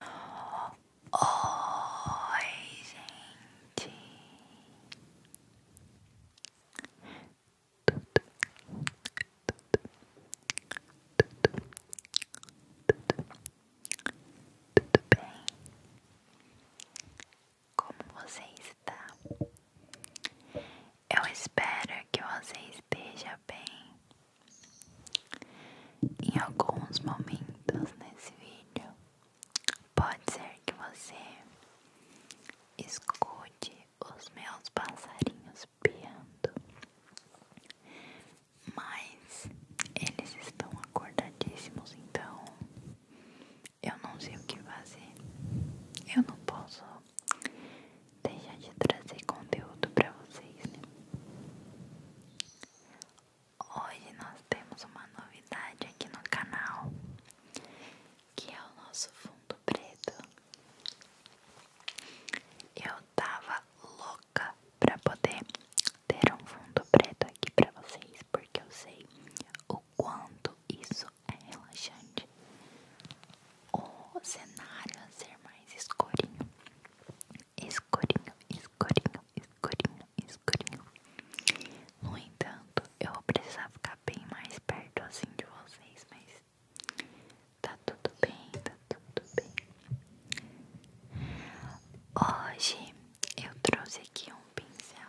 Oi, gente, tudo, bem? Como você está? Eu espero que você esteja bem. Em alguns momentos nesse vídeo, pode ser que você escute os meus passarinhos piando, mas eles estão acordadíssimos, então eu não sei o que fazer. Eu não posso deixar de trazer conteúdo para vocês, né? Hoje nós temos uma novidade aqui no canal, que é o nosso fundo preto. Eu tava louca pra poder ter um fundo preto aqui pra vocês, porque eu sei o quanto isso é relaxante. O cenário a ser mais escurinho escurinho, escurinho, escurinho, escurinho. No entanto, eu vou precisar ficar bem mais perto assim de vocês, mas tá tudo bem, tá tudo bem. Hoje eu trouxe aqui um pincel.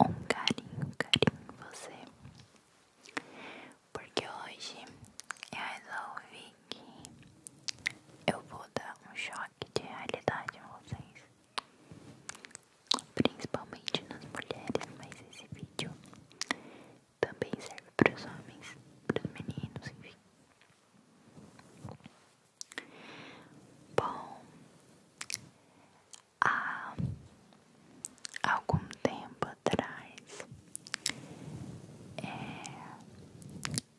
Um carinho, carinho em você. Porque hoje eu resolvi que eu vou dar um choque de realidade a vocês. Principalmente nas mulheres, mas esse vídeo também serve para os homens, para os meninos, enfim. Bom, há algum tempo atrás é,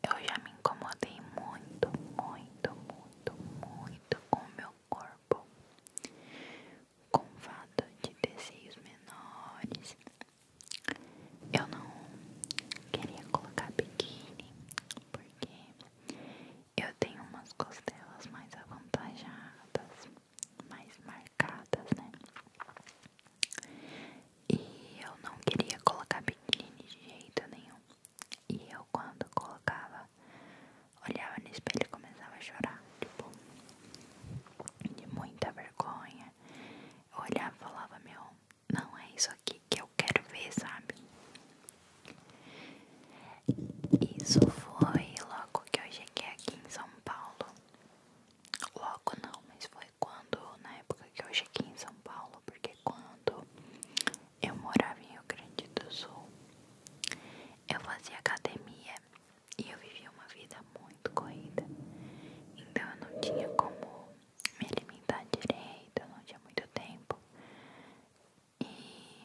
eu já me incomodei muito, muito, muito, muito com o meu corpo, com fato de desejos menores. Eu não queria colocar biquíni porque eu tenho umas costelas mais avantajadas, mais marcadas, né? E eu não queria colocar biquíni de jeito nenhum. E eu quando colocava, olhava no espelho e começava a chorar, tipo, de muita vergonha. Eu olhava e falava, meu, não é isso aqui que eu quero ver, sabe? Isso foi logo que eu cheguei aqui em São Paulo. Logo não, mas foi quando, na época que eu cheguei em São Paulo, porque quando eu morava em Rio Grande do Sul, eu fazia academia e eu vivia uma vida muito corrida. Então eu não tinha como me alimentar direito, eu não tinha muito tempo. E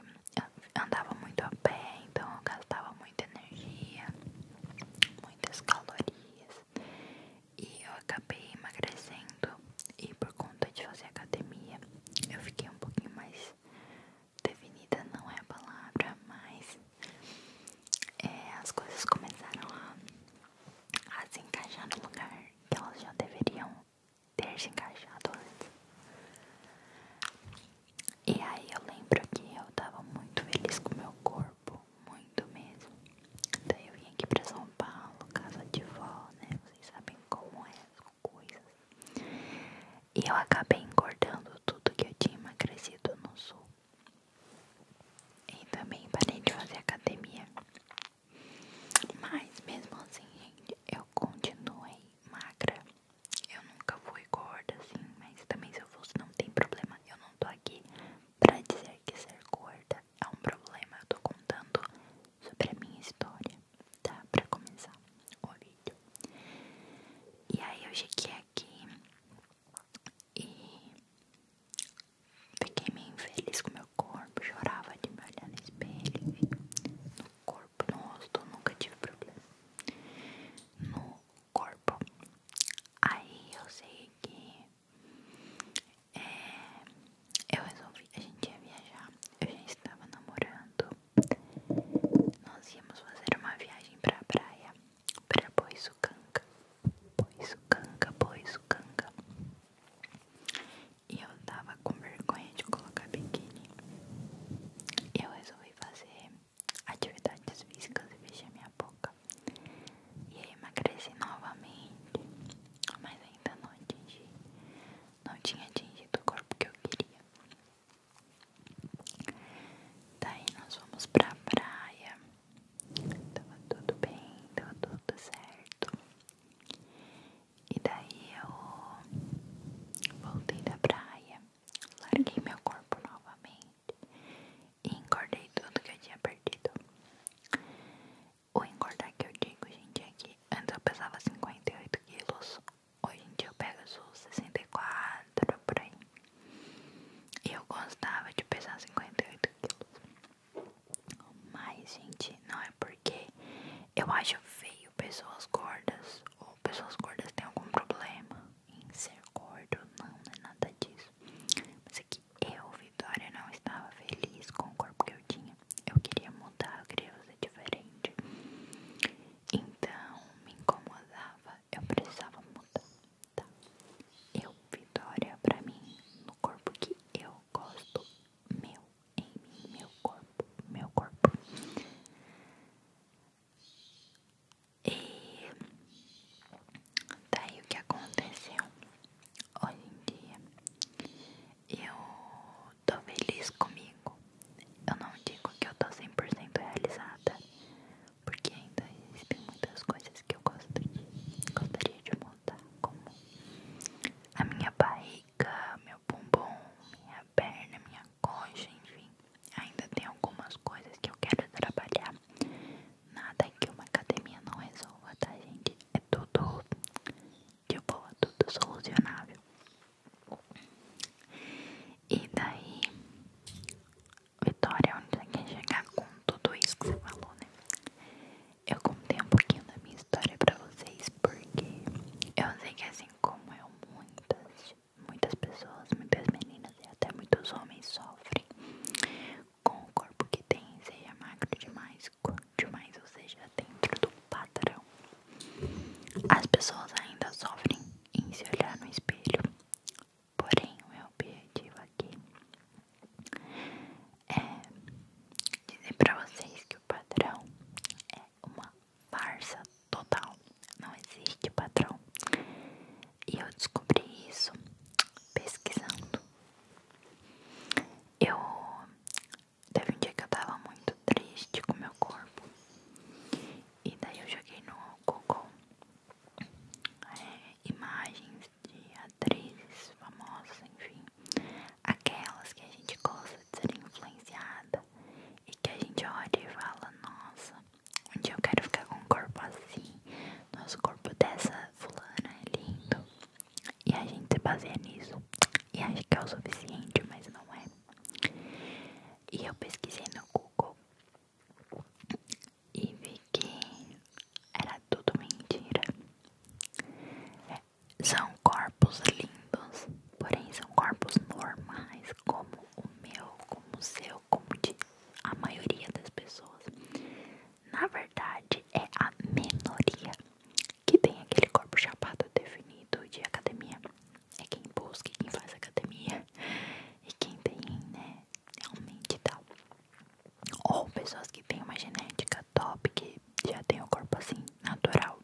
andava muito a pé, então eu gastava muita energia, muitas calorias. E eu acabei emagrecendo. E por conta de fazer academia, eu fiquei um pouquinho mais definida não é a palavra, mas é, as coisas começaram a se encaixar no lugar que elas já deveriam ter se encaixado antes. E aí eu lembro que eu tava muito feliz com meu corpo, muito mesmo. Daí eu vim aqui pra São Paulo, casa de vó, né? Vocês sabem como é as coisas. E eu acabei engordando tudo que eu tinha emagrecido no sul. E também parei de fazer academia. Mas mesmo assim, gente, eu continuei magra. Eu nunca fui gorda, assim, mas também se eu fosse não tem problema. Eu não tô aqui pra dizer que ser gorda é um problema. Eu tô contando sobre a minha história, tá? Pra começar o vídeo. E aí eu cheguei aqui e fiquei meio infeliz com meu corpo, chorava de me olhar no espelho. Enfim. No corpo, no rosto, nunca tive problema. No corpo. Aí eu sei que é, eu resolvi, a gente ia viajar, eu já estava namorando. Nós íamos fazer uma viagem pra praia, pra Boiçucanga canga, Boiçucanga, canga, E eu tava com vergonha de colocar biquíni. Eu resolvi fazer atividades físicas e fechei minha boca. E aí emagreci novamente. Mas ainda não atingi. Não tinha atingido o corpo que eu queria. Daí nós fomos pra praia. Tava tudo bem, tava tudo certo. E daí eu voltei da praia, larguei meu corpo novamente e engordei tudo que eu tinha perdido. O engordar que eu digo, gente, é que antes eu pesava 58 quilos, hoje em dia eu peso 64 por aí. eu gostava de pesar 58 quilos. Mas, gente, não é porque eu acho feio pessoas gordas ou pessoas gordas têm algum problema em ser gordo, não, não é nada disso. Mas é que eu, Vitória, não estava feliz com o corpo que eu tinha. Eu queria mudar, eu queria fazer diferente. Então, me incomodava, eu precisava mudar. Tá. Eu, Vitória, pra mim, no corpo que eu gosto, meu, em mim, meu corpo, meu corpo. E daí o que aconteceu? Hoje em dia, eu tô feliz comigo. Eu não digo que eu tô 100% realizada, porque ainda existem muitas coisas que eu gostaria de montar, como a minha barriga, meu bumbum, minha perna, minha coxa, enfim. Ainda tem algumas coisas que eu quero trabalhar. Nada que uma academia não resolva, tá, gente? É tudo de boa, tudo solucionável. E daí Vitória, onde você quer chegar com tudo isso que você falou, né? Eu contei um pouquinho da minha história pra vocês, porque eu sei que assim como eu, muitas, muitas pessoas, muitas meninas e até muitos homens sofrem com o corpo que tem, seja magro demais, gordo demais, ou seja, dentro do padrão. As pessoas ainda sofrem em se olhar no espelho, Porém, o meu objetivo aqui é dizer pra vocês que o padrão é uma farsa total. Não existe padrão. E eu descobri isso pesquisando. Eu teve um dia que eu tava muito triste com meu corpo. E daí eu joguei no Google imagens de atrizes famosas, enfim, aquelas que a gente gosta de ser influenciada e que a gente olha e fala: Nossa, um dia eu quero ficar com um corpo assim, nosso corpo dessa fulana é lindo, e a gente baseia nisso e acha que é o suficiente, mas não é. E eu pesquisei no Google e vi que era tudo mentira. É, são corpos lindos, porém são corpos normais, como o meu, como o seu, como de a maioria das pessoas. Na verdade, é a menoria que tem aquele corpo chapado definido de academia. É quem busca, quem faz academia e quem tem, né? Realmente tal. Tá. Ou pessoas que têm uma genética top, que já tem o corpo assim, natural.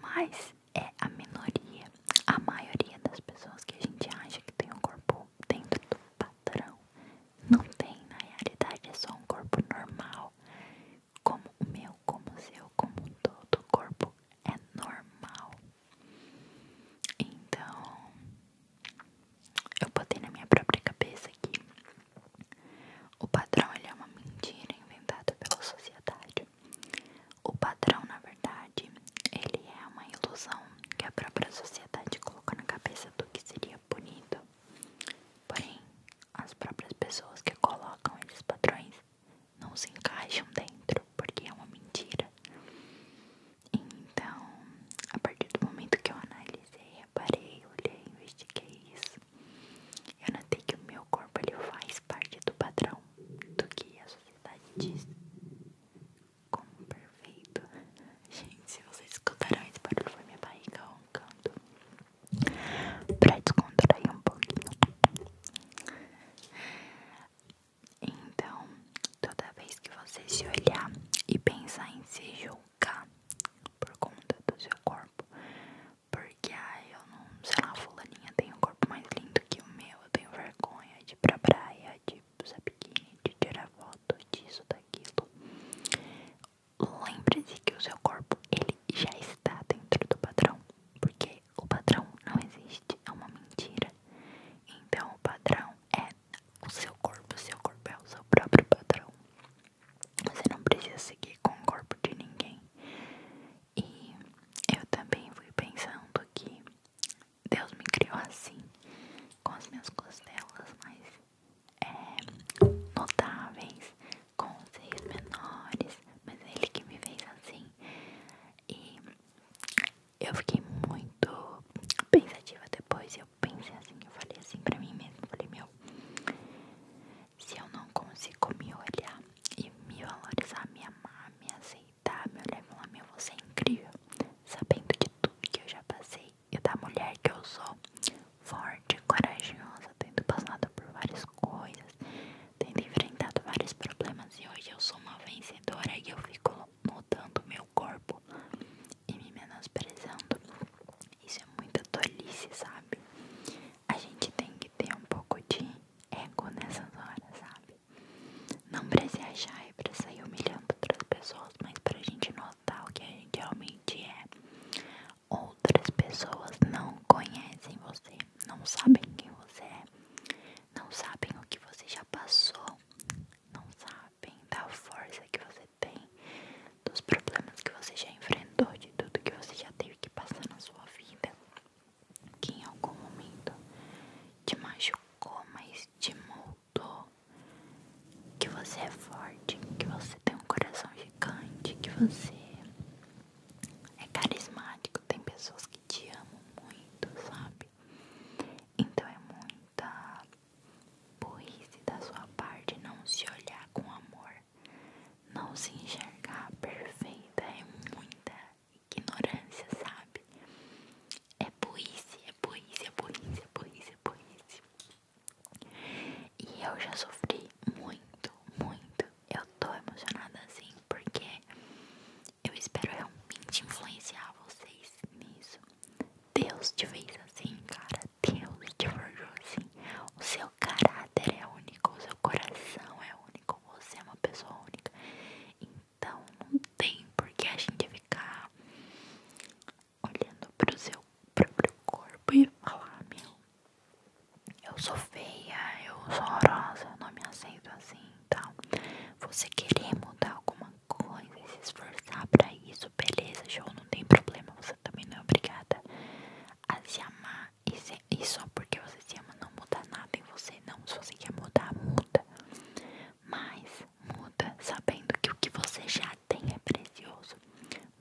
Mas é a minoria. A maioria das pessoas que a gente acha que tem o corpo dentro do padrão não tem. Na realidade, é só um corpo normal. Como o meu, como o seu, como todo corpo é normal. Então, eu botei na minha própria cabeça aqui o padrão ele é uma mentira inventada pela sociedade. O padrão, na verdade, ele é uma ilusão que a própria sociedade coloca na cabeça do que seria bonito. Porém, as próprias pessoas que colocam esses padrões não se encaixam dentro, porque é uma mentira. Então, a partir do momento que eu analisei, reparei, olhei, investiguei isso, eu notei que o meu corpo ele faz parte do padrão do que a sociedade diz como perfeito. Gente, se vocês escutaram esse barulho, foi minha barriga roncando pra descontrair um pouquinho. Então, toda vez que você se olhar e pensar em se jogar por conta do seu corpo, porque ah, eu não, sei lá, fulaninha tem um corpo mais lindo que o meu, eu tenho vergonha de ir pra praia, de usar biquíni, de tirar foto disso, daquilo. Lembre-se que o seu corpo, ele já está dentro do padrão, porque o padrão não existe, é uma mentira. Então o padrão é o seu corpo, o seu corpo é o seu próprio padrão. Você não precisa seguir com o corpo de ninguém. E eu também fui pensando que Deus me criou assim, com as minhas costelas mais é, notáveis, com os seios menores, mas é Ele que me fez assim. E eu fiquei muito pensativa depois. Eu pensei assim, eu falei assim pra mim mesmo, falei, meu, se eu não consigo me olhar e me valorizar, me amar, me aceitar, me olhar e falar, meu, você é incrível, sabendo de tudo que eu já passei e da mulher que eu sou, forte, corajosa, tendo passado por várias coisas, tendo enfrentado vários problemas e hoje eu sou uma vencedora merecedora e eu fico mudando meu corpo e me menosprezando. Isso é muita tolice, sabe? A gente tem que ter um pouco de ego nessas horas, sabe? Não pra se achar e é pra sair humilhando outras pessoas, mas pra gente notar o que a gente realmente é. Outras pessoas não conhecem você, não sabem quem você é não sabem o que você já passou, não sabem da força que você tem, dos problemas que você já enfrentou, de tudo que você já teve que passar na sua vida, que em algum momento te machucou, mas te moldou. Que você é forte, que você tem um coração gigante, que você é carismático, tem pessoas que te amam muito, sabe? Então é muita burrice da sua parte não se olhar com amor, não se enxergar perfeita, é muita ignorância, sabe? É burrice, é burrice, é burrice, é burrice, é burrice. E eu já sofri muito, muito. Eu tô emocionada assim porque eu espero realmente influenciar vocês nisso. Deus te fez assim, cara. Deus te forjou assim. O seu caráter é único, o seu coração é único, você é uma pessoa única. Então não tem por que a gente ficar olhando pro seu próprio corpo e falar, meu, eu sou feia, eu sou horrorosa, eu não me aceito assim. Você querer mudar alguma coisa e se esforçar pra isso, beleza, joão não tem problema. Você também não é obrigada a se amar e, e só porque você se ama não muda nada em você, não. Se você quer mudar, muda. Mas muda sabendo que o que você já tem é precioso.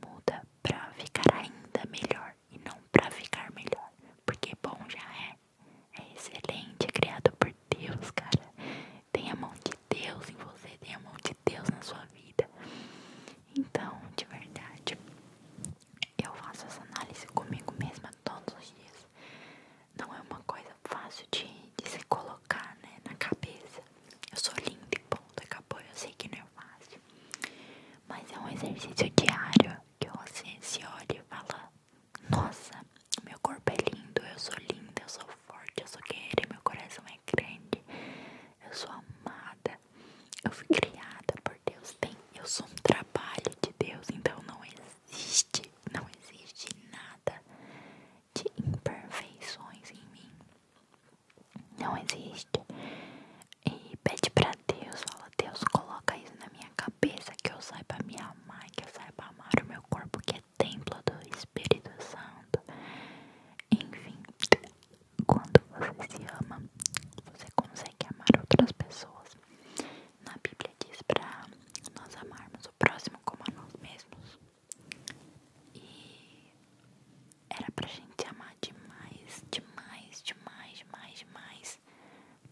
Muda pra ficar ainda melhor e não pra ficar melhor. Porque bom já é é excelente, é criado por Deus, cara. Tem a mão de Deus em você, tem a mão de Deus na sua vida. Então, de verdade, eu faço essa análise comigo mesma todos os dias. Não é uma coisa fácil de, se colocar né, na cabeça. Eu sou linda e ponto, acabou. Eu sei que não é fácil. Mas é um exercício diário que você se olha e fala: nossa, meu corpo é lindo, eu sou linda, eu sou forte, eu sou guerreira, meu coração é grande, eu sou amada, eu fui criada por Deus, tem, eu sou um trabalho de Deus, então não existe, não existe nada de imperfeições em mim. Não existe. E pede pra Deus, fala, Deus, coloca isso na minha cabeça cabeça, que eu saiba me amar, que eu saiba amar o meu corpo, que é templo do Espírito Santo. Enfim, quando você se ama, você consegue amar outras pessoas. Na Bíblia diz para nós amarmos o próximo como a nós mesmos. E era pra gente amar demais, demais, demais, demais, demais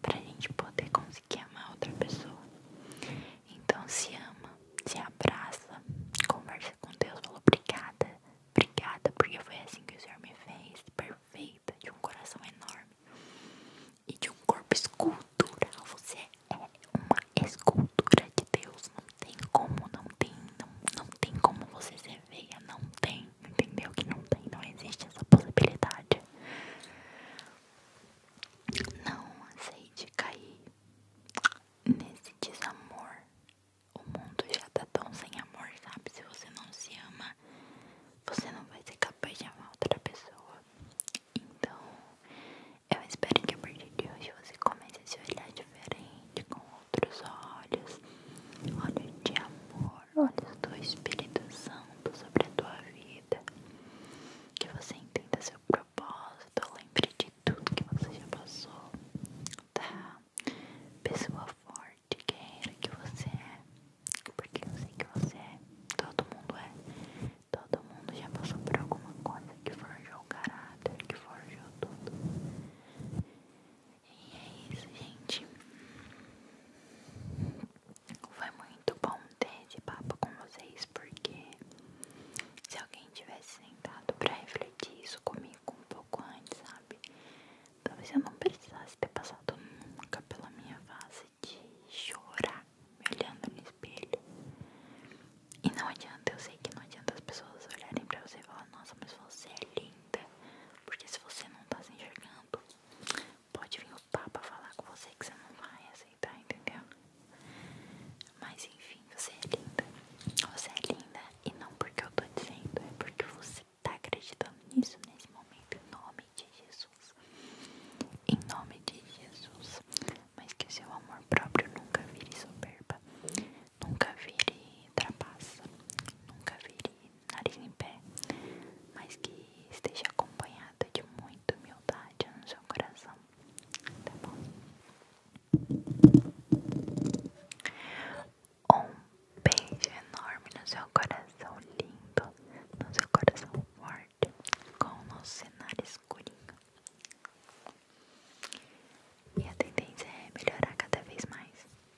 pra gente poder conseguir amar outra pessoa. Então se ama, se abraça, conversa com Deus, fala obrigada, obrigada, porque foi assim que o Senhor me fez, perfeita, de um coração enorme e de um corpo escultural. Você é uma escultura de Deus, não tem como, não tem, não, não tem como você ser feia, não tem entendeu? Que não tem, não existe essa possibilidade. Não aceite cair nesse desamor. O mundo já tá tão sem amor, sabe? Se você não se ama, você não vai ser capaz de amar outra pessoa. Então, eu espero que a partir de hoje você comece a se olhar diferente, com outros olhos, olhos de amor, amor, olhos do Espírito Santo sobre a tua vida. Que você entenda seu propósito, lembre de tudo que você já passou, tá? Pessoa forte, guerreira que você é, porque eu sei que você é, todo mundo é, todo mundo já passou por alguma coisa que forjou o caráter, que forjou tudo. E é isso, gente. Foi muito bom ter esse papo com vocês, porque se alguém tivesse sentado pra refletir isso comigo um pouco antes, sabe? Talvez eu não precisasse ter passado nunca pela minha fase de chorar olhando no espelho. E não adianta, eu sei que não adianta as pessoas olharem pra você e falar, nossa, mas você é linda. Porque se você não tá se enxergando, pode vir o Papa falar com você que você não vai aceitar, entendeu? Mas enfim, você é linda. Você é linda e não porque eu tô dizendo, é porque você tá acreditando nisso nesse momento, em nome de Jesus. Em nome de Jesus. Mas que o seu amor próprio nunca vire soberba, nunca vire trapaça, nunca vire nariz em pé, mas que esteja acompanhada de muita humildade no seu coração, tá bom? Um beijo enorme no seu coração lindo, no seu coração forte, com o nosso cenário escurinho. E a tendência é melhorar cada vez mais.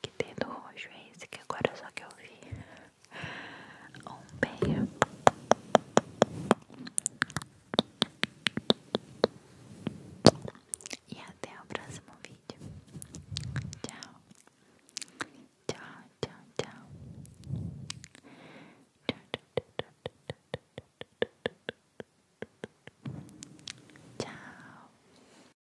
Que dedo roxo é esse que agora só que eu vi? Um beijo. E até o próximo vídeo. Tchau. Tchau, tchau, tchau. Tchau.